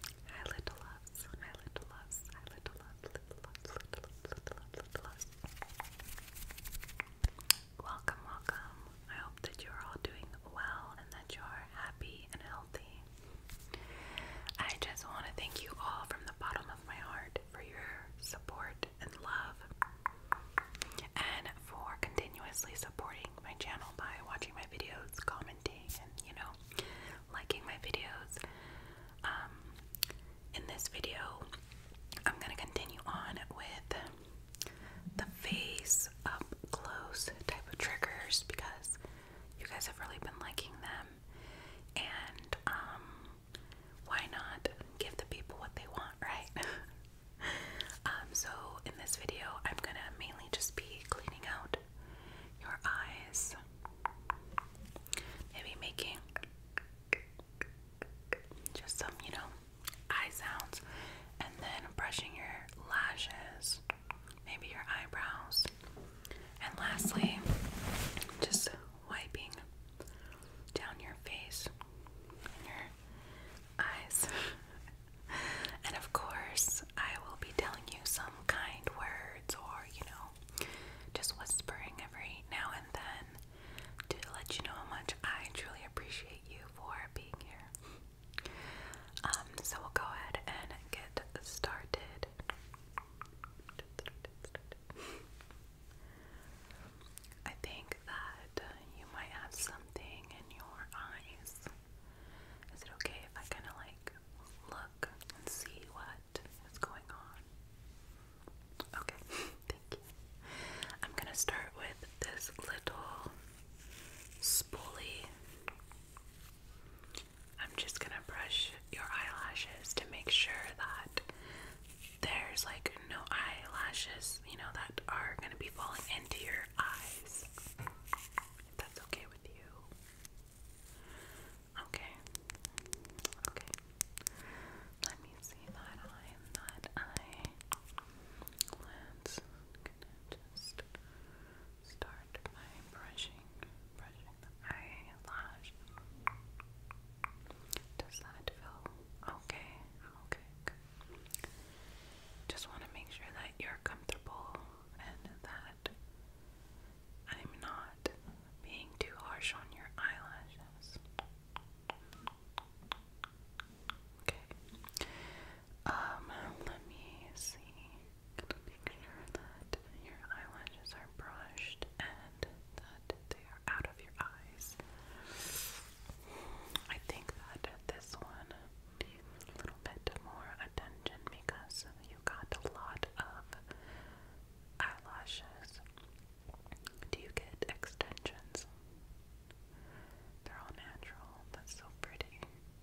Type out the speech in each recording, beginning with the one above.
Hi little loves, hi little loves, hi little loves, little loves, little loves, little loves, little loves. Welcome, welcome. I hope that you're all doing well and that you're happy and healthy. I just want to thank you all from the bottom of my heart for your support and love and for continuously supporting my channel by watching my videos, commenting and, you know, liking my videos. Um, in this video, I'm going to continue on with the face up close type of triggers because you guys have really been liking them. And, um, why not give the people what they want, right? Um, so in this video, I'm gonna mainly just be cleaning out your eyes. Maybe making just some, you know, eye sounds. And then brushing your lashes, maybe your eyebrows. And lastly, just wiping down your face your eyes. and of course, I will be telling you some kind words or, you know, just whispering every now and then to let you know how much I truly appreciate you for being here. Um, so we'll go ahead and get started. I think that you might have something in your eyes. Is it okay if I kind of like look and see what is going on. Okay, thank you. I'm gonna start with this little spoolie. I'm just gonna brush your eyelashes to make sure that there's like no eyelashes, you know, that are gonna be falling into your eyes. If that's okay with you. Okay. Okay. Let me see that eye that eye. Let's just start by brushing, brushing the eyelash. Does that feel okay? Okay, Just want to make sure that you're comfortable and that I'm not being too harsh on your eyelashes. Okay. Um, let me see. Make sure that your eyelashes are brushed and that they are out of your eyes. I think that this one a little bit more attention because you got a lot of eyelashes. Do you get extensions? They're all natural. That's so pretty.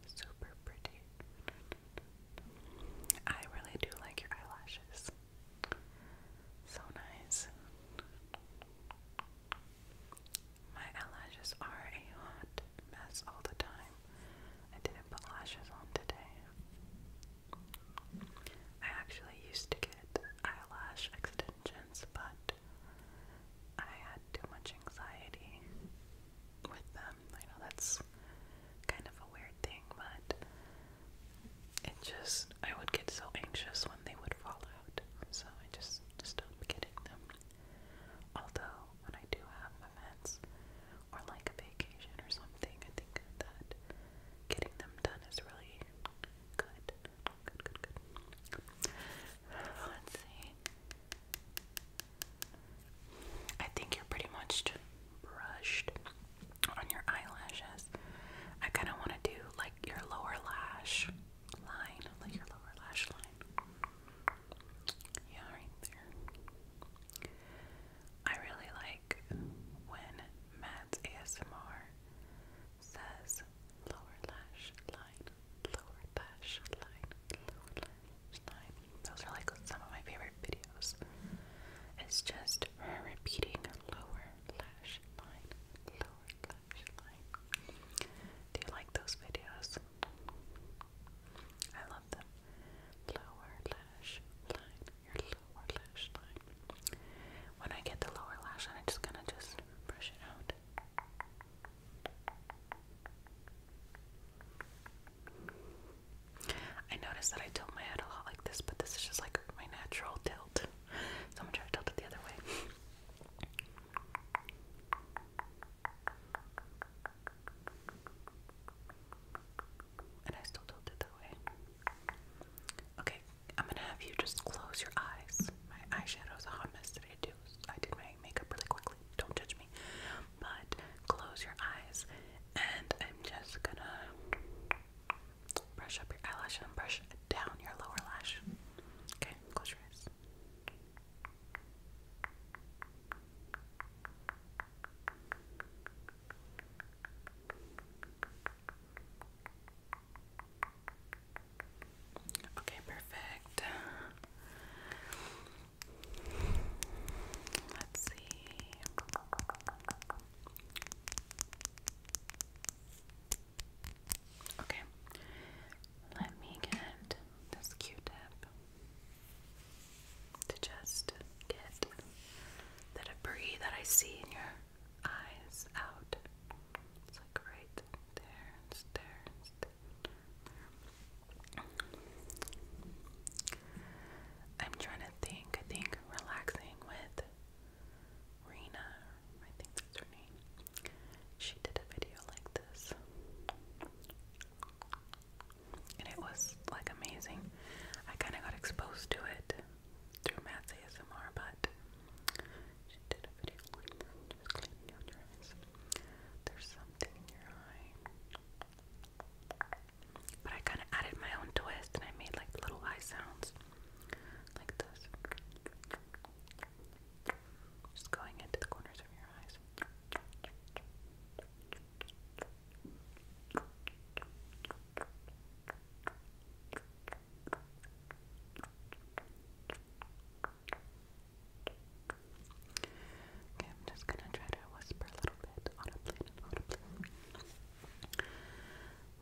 Super pretty. I really do like your eyelashes. So nice. My eyelashes are a hot mess all the time. I didn't put lashes on today. I actually used to get eyelash extensions, but I had too much anxiety with them. I know that's kind of a weird thing, but it just, I would get so anxious when they would fall out, so I just stopped getting them. Although, when I do have events or like a vacation or something, I think that getting them done is really good. Good, good, good. Let's see. I think you're pretty much brushed on your eyelashes. I kind of want to do like your lower lash line, like your lower lash line. Yeah, right there. I really like when Matt's ASMR says lower lash line, lower lash line, lower lash line. Those are like some of my favorite videos. It's just repeating lower lash line, lower lash line. Do you like those videos? I Lower lash line. Your lower lash line. When I get the lower lash line, I'm just gonna just brush it out. I noticed that I tilt my head a lot like this, but this is just like my natural tilt. So I'm gonna try to tilt it the other way. And I still do it that way. Okay, I'm gonna have you just close your eyes. My eyeshadow's a hot mess today too. I did my makeup really quickly. Don't judge me. But close your eyes, and I'm just gonna brush up your eyelash and brush down your lower lash. Okay, close your eyes. Okay, perfect. Let's see. Okay, let me get this Q-tip to just get the debris that I see in your eyes out. It's like right there, it's there, I'm trying to think. I think relaxing with Rena, I think that's her name. She did a video like this and it was like amazing. I kind of got exposed to it through Matt's ASMR, but she did a video Just cleaning your eyes. There's something in your eye. But I kind of added my own twist and I made like little eye sounds like this. Just going into the corners of your eyes. Okay, I'm just gonna try to whisper a little bit audibly and audibly.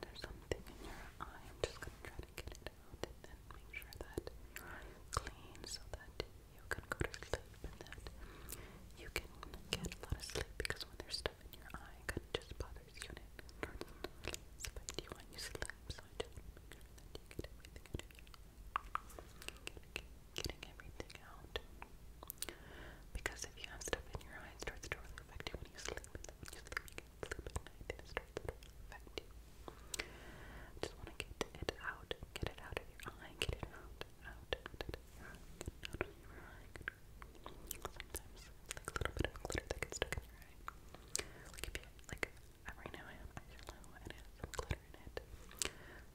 There's something in your eye. I'm just gonna try to get it out and then make sure that your eye is clean so that you can go to sleep and that you can get a lot of sleep because when there's stuff in your eye, it just bothers you and you want you sleep, I just want to make get everything out Because if you have stuff in your eye, it starts to really affect you when you sleep. just want to get it out. Get it out of your eye. Get it out out. Sometimes, like a little bit of glitter that gets stuck in your eye. Like if you, now and it has some glitter in it,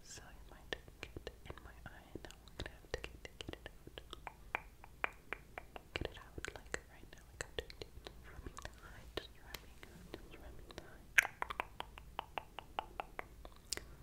so it might get in my eye. now we're gonna get it Get it out. Like right now, like I'm doing it. Just rubbing the eye. Just rubbing.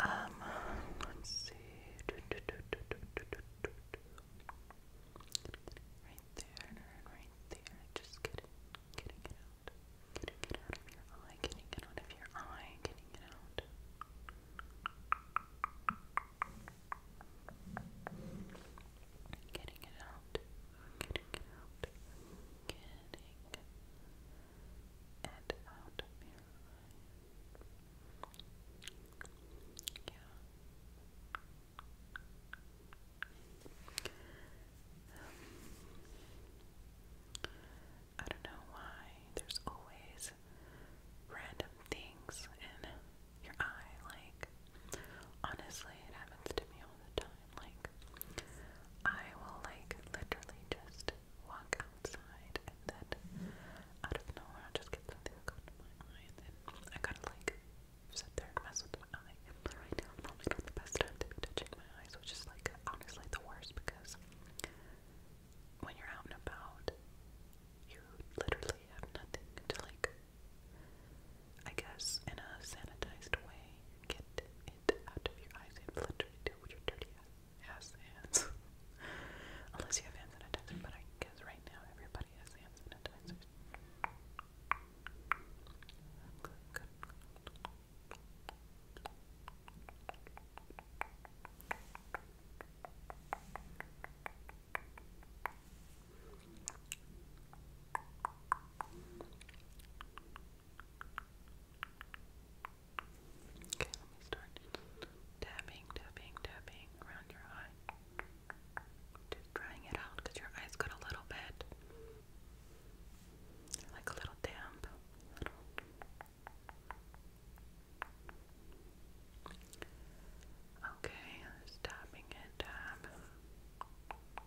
Um, let's see right there and right there. Just getting, getting it out. Getting it out of your eye. Getting it out of your eye. Getting it out. Getting it out. Getting and out of your eye. Yeah. I don't know why there's always random things in your eye. Like, honestly, it happens to me all the time. Like, I will, like, literally just walk outside and then out of nowhere i just get something that goes my eye and then I gotta, like, sit there and mess right now, probably not the best time touching my eyes, which is like honestly the worst because when you're out and about, you literally have nothing to like. I guess in a sanitized way, get it out of your eyes and literally do what your dirty ass hands. Unless you have hand sanitizer, but I guess right now everybody has hand sanitizers. Okay, let me start tapping, tapping, tapping around your eye. Just drying it out because your eyes got a little bit like a little damp. A little. Okay, just tapping it, tap. it,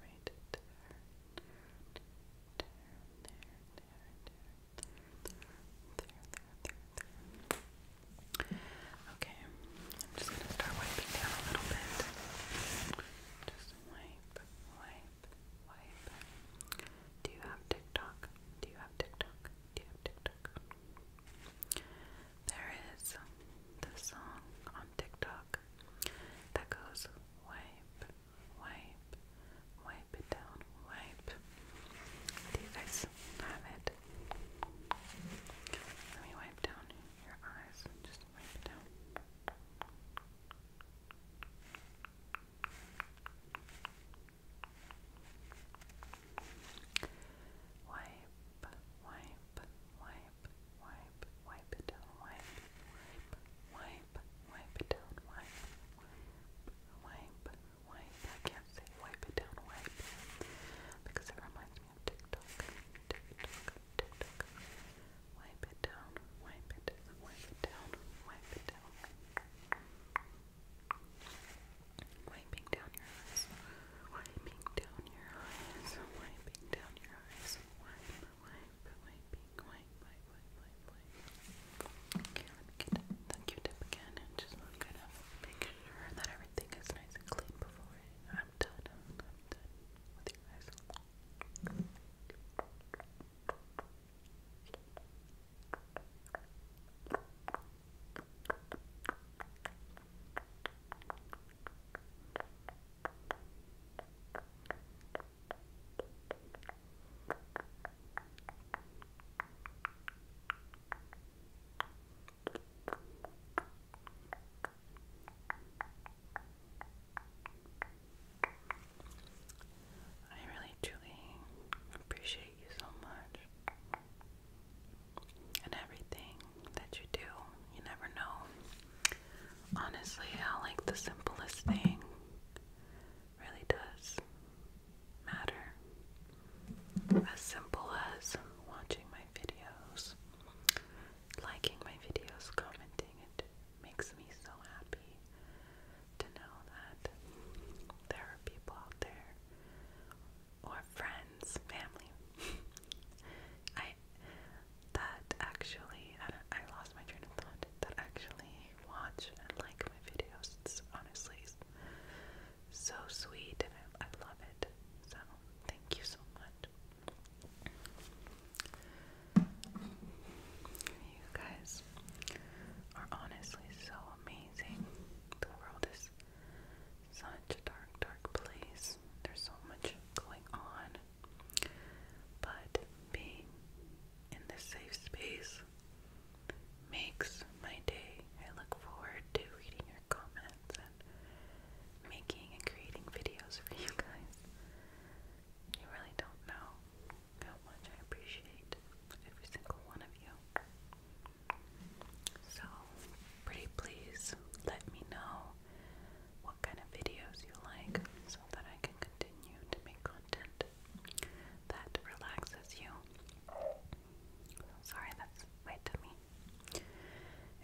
right, Okay, I'm just gonna start wiping down a little bit. Just wipe, wipe, wipe. Do you have TikTok? Do you have TikTok? Do you TikTok? There is the song TikTok that goes wipe, wipe, wipe it down, wipe. Do you guys have it? Let me wipe down your eyes. Just wipe it down. Wipe, wipe, wipe, wipe, wipe, it down, wipe, wipe, wipe, wipe it down, wipe, wipe, I can't say wipe it down, wipe because it reminds me of TikTok, TikTok, TikTok. Wipe it down, wipe it, wipe it down, wipe it down. Wiping down your eyes, wiping down your eyes, wiping down your eyes, wiping wipe, Okay, let me get the Q-tip again and just make sure that everything is nice and clean before I'm done. I'm, done with you guys. I really truly appreciate you so much and everything that you do. You never know. Honestly, I like the simplest thing really does matter. As simple as watching my videos, liking my videos, commenting, it makes me so happy to know that there are people out there or friends, family. I that actually, I, lost my train of thought, that actually watch and like my videos. It's honestly so sweet and I, I love it. So, thank you so much. You guys are honestly so amazing. The world is such a dark, dark place. There's so much going on. But being in this safe space makes my day. I look forward to reading your comments and making and creating videos for you guys. You really don't know how much I appreciate every single one of you. So, pretty please let me know what kind of videos you like so that I can continue to make content that relaxes you. Sorry, that's my tummy.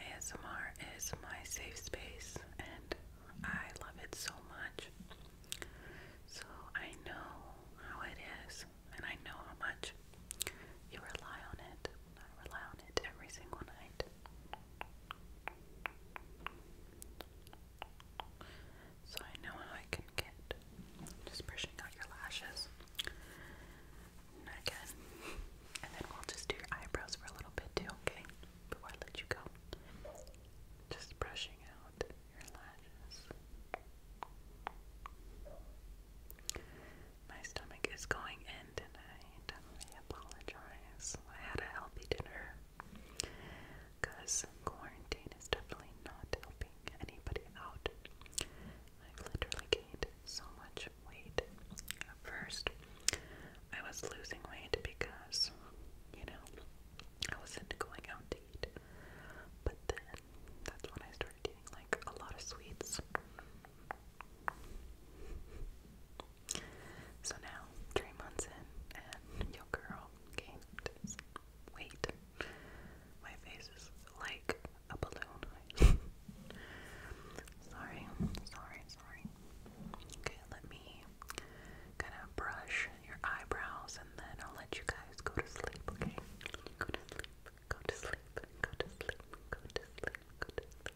ASMR is my safe space and I love it so much. So I know how it is and I know how much you rely on it. I rely on it every single night. So I know how I can get just brushing out your lashes. Again. And then we'll just do your eyebrows for a little bit too, okay? Before I let you go. Just brushing out your lashes. My stomach is going in tonight. I apologize. I had a healthy dinner because quarantine is definitely not helping anybody out. i literally gained so much weight. At first, I was losing weight because, you know, I wasn't going out to eat. But then that's when I started eating like a lot of sweets. So now, three months in, and your girl gained weight. My face is like a balloon. sorry, sorry, sorry. Okay, let me kind of brush your eyebrows and then I'll let you guys go to sleep, okay? Go to sleep, go to sleep, go to sleep, go to sleep, go to sleep.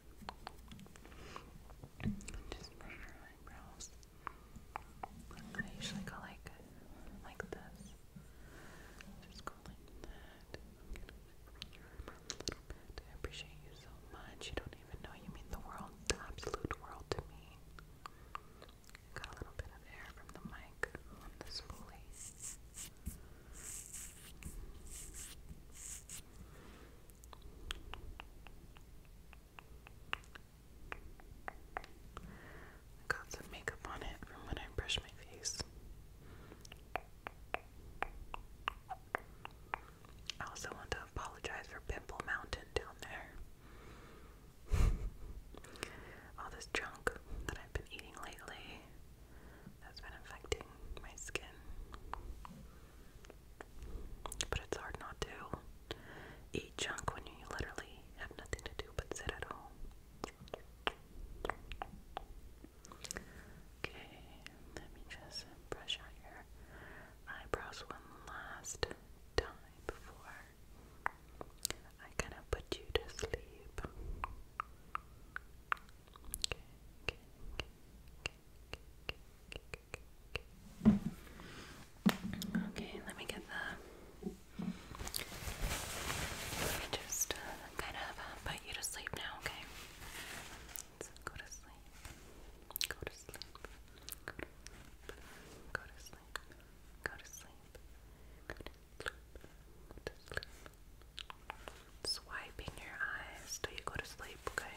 Just brush your eyebrows. I usually go like like this. Just go like that. i appreciate you so much. You don't even know you mean the world, the absolute world to me. Got a little bit of air from the mic on the spoolie. I got some makeup on it from when I brush my face. I also want to apologize for Pimple Mountain down there. All this junk that I've been eating lately has been affecting my skin. But it's hard not to eat junk when you literally have nothing to do but sit at home. Okay, let me just brush out your eyebrows one last time before I kind of put you to sleep. Okay, Okay, let me get the. Let me just uh, kind of uh, put you to sleep now, okay? go to sleep. Go to sleep. Go to sleep. Go to sleep. Go to sleep. Go to sleep. Swiping your eyes till you go to sleep, okay?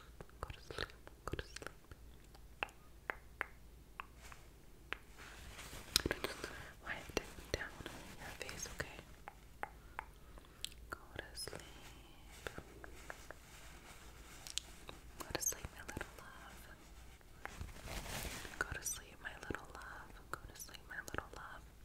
go to sleep, go to sleep. Wipe down your face, okay? Go to sleep. Go to sleep, my little love. Go to sleep, my little love. Go to sleep, my little love.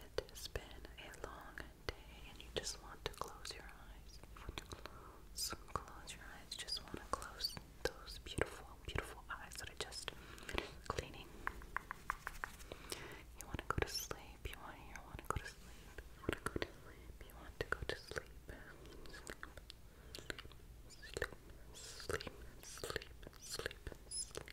It has been a long day, and you just want to close your eyes. You want to close, your eyes. Just want to close those beautiful, beautiful eyes that are just cleaning. You want to go to sleep. You want, you want to go to sleep. You want to go to sleep. You want to go to sleep. Sleep, sleep, sleep, sleep, sleep, sleep. sleep.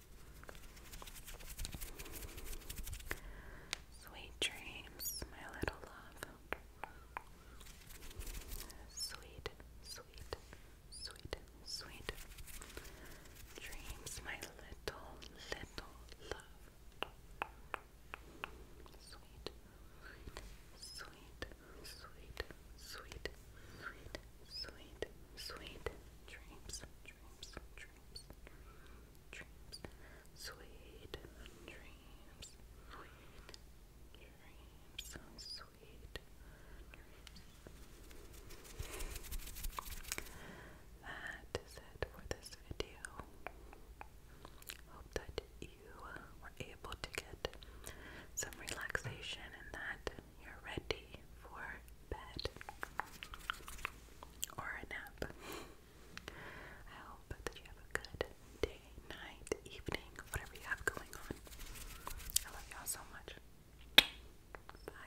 Sweet dreams, my little love. Sweet, sweet, sweet, sweet dreams, my little, little love. Sweet, sweet, sweet, sweet, sweet, sweet, Sweet dreams, dreams, dreams, dreams, sweet dreams, sweet dreams, sweet dreams. That is it for this video. Hope that you were able to get some relaxation and that you're ready for bed or a nap. I hope that you have a good day, night, evening, whatever you have going on. I love y'all so much. Bye.